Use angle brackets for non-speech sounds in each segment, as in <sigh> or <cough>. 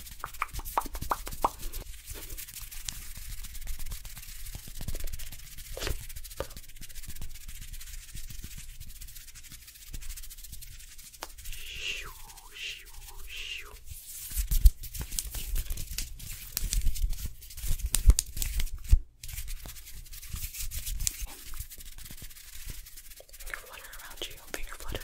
Shoo, shoo, shoo. Finger flutter around you, finger flutter.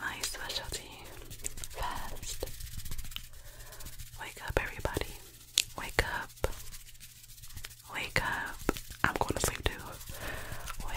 my specialty first. Wake up, everybody. Wake up. Wake up. I'm going to sleep too. Wake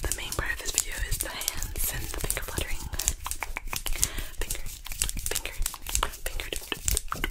The main part of this video is the hands and the finger fluttering. Finger, finger, finger.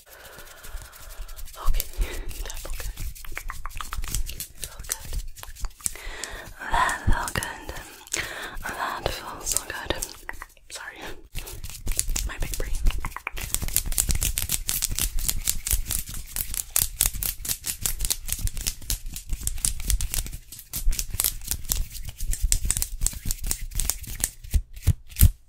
Okay, that felt good. That felt good. That felt so good. Sorry, my big brain.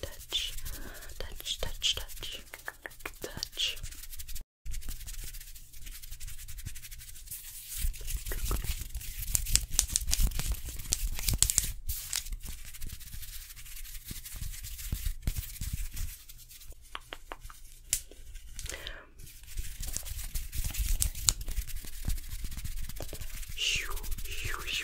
touch, touch, touch, touch, touch. Shoo, shoo, shoo,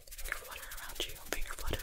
finger flutter around you, finger flutter.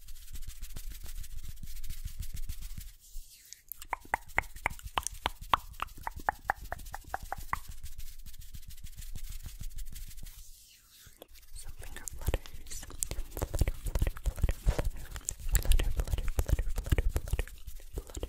Some finger flutters. Flutter, flutter, flutter, flutter, flutter, flutter, flutter, flutter, flutter, flutters. Flutter,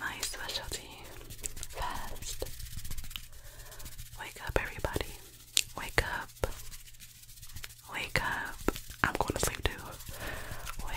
my specialty. Fast. Wake up, everybody. Wake up. Wake up. I'm going to sleep too. Wake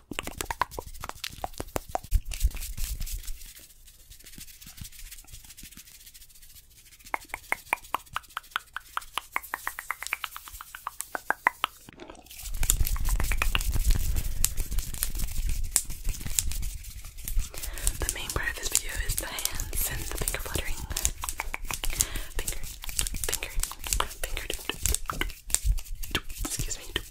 The main part of this video is the hands and the finger fluttering. Finger, finger, finger. Excuse me. Tick,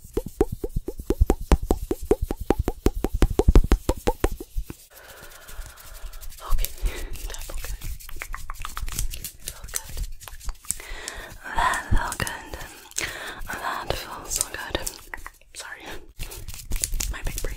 Okay, that felt good. It felt good. That felt good. That felt so good. Sorry. My big brain.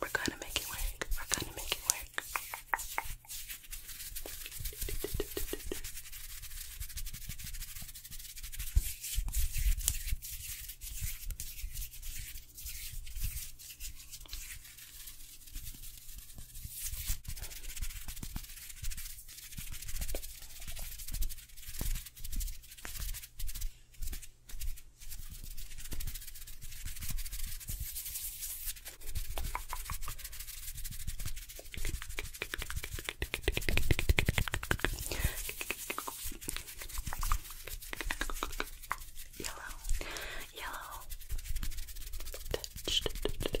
We're gonna make it work. We're gonna make it work. Yellow, yellow, touched gently.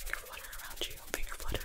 Finger flutter around you, finger flutter.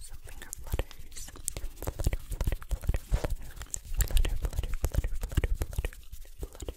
Some finger flutters. Flutter, flutter, flutter, flutter. Flutter, flutter, flutter, flutter, flutter. Flutters.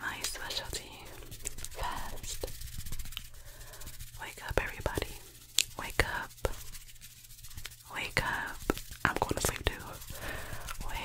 My specialty fast. Wake up, everybody. Wake up. Wake up. I'm going to sleep too. Wake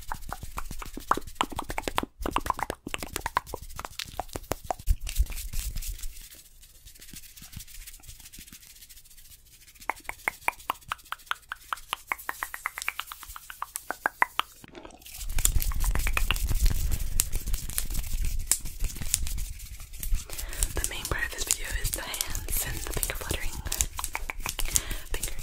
The main part of this video is the hands and the finger fluttering. Finger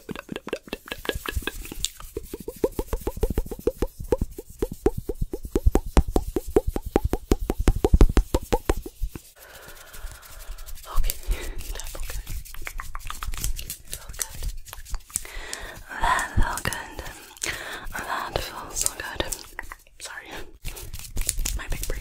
Okay, that felt good. It felt good. That felt good. That felt so good. Sorry. My big brain.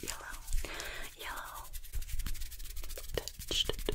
Yellow, yellow, touched gently.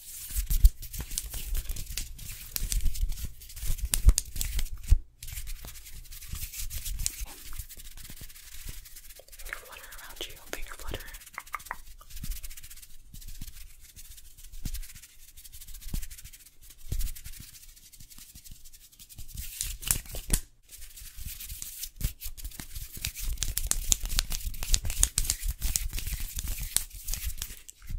Finger flutter around you, finger flutter.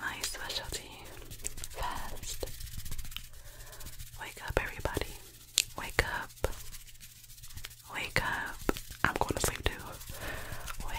My specialty fast. Wake up, everybody. Wake up. Wake up. I'm going to sleep too. Wake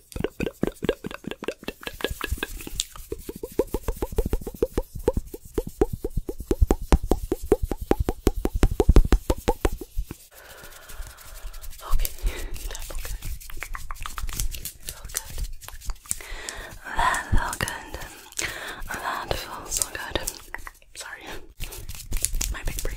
Okay, that felt good. Felt good. That felt good. That felt so good. Sorry, my big brain.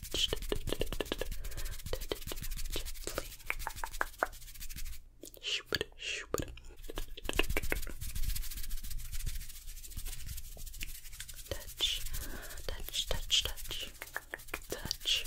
gently. Shoop, shoop. Touch, touch, touch, touch, touch. Touch,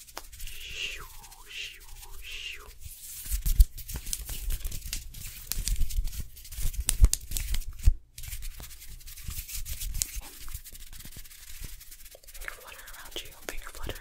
Shoo, shoo, shoo. Finger flutter around you, finger flutter.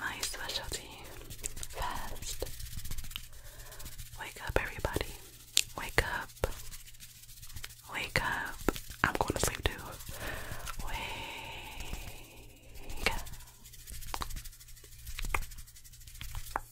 My specialty fast. Wake up, everybody. Wake up. Wake up. I'm going to sleep too. Wake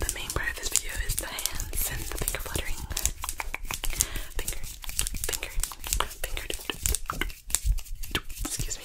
The main part of this video is the hands and the finger fluttering. Finger, finger, finger. Excuse me.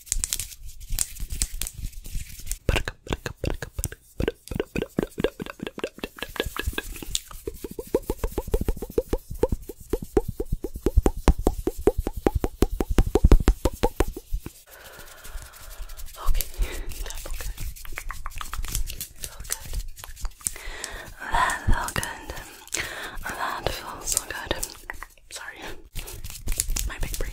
Okay, <laughs> that good. That good. so good. Sorry, my big brain.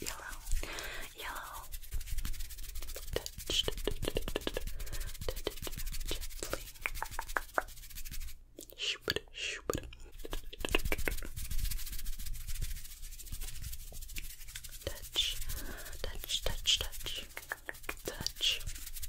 Yellow, yellow. Touch, gently. Shoop, shoop. Touch, touch, touch, touch, touch. Good.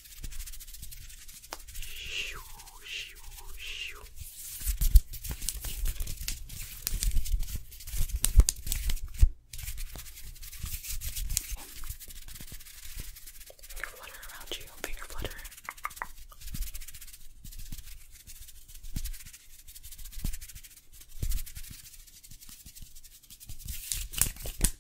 Shoo, shoo, shoo. Finger flutter around you, finger flutter.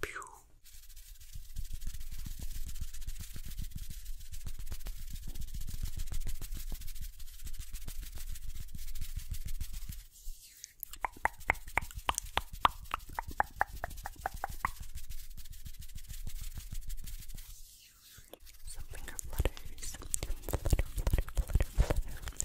Pew. Some finger flutters, flutter, flutter, flutter, flutter,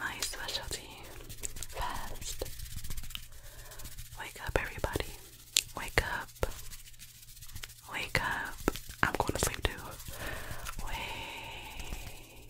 My specialty fast. Wake up, everybody. Wake up. Wake up. I'm going to sleep too. Wake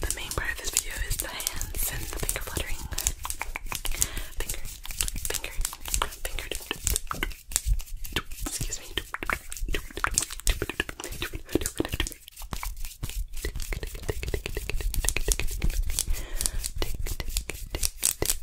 The main part of this video is the hands and the finger fluttering. Finger, finger, finger. Excuse me.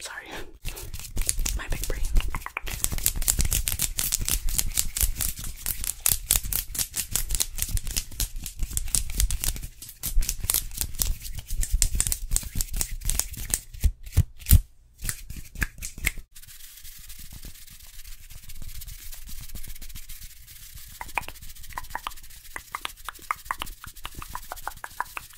Sorry, my big brain.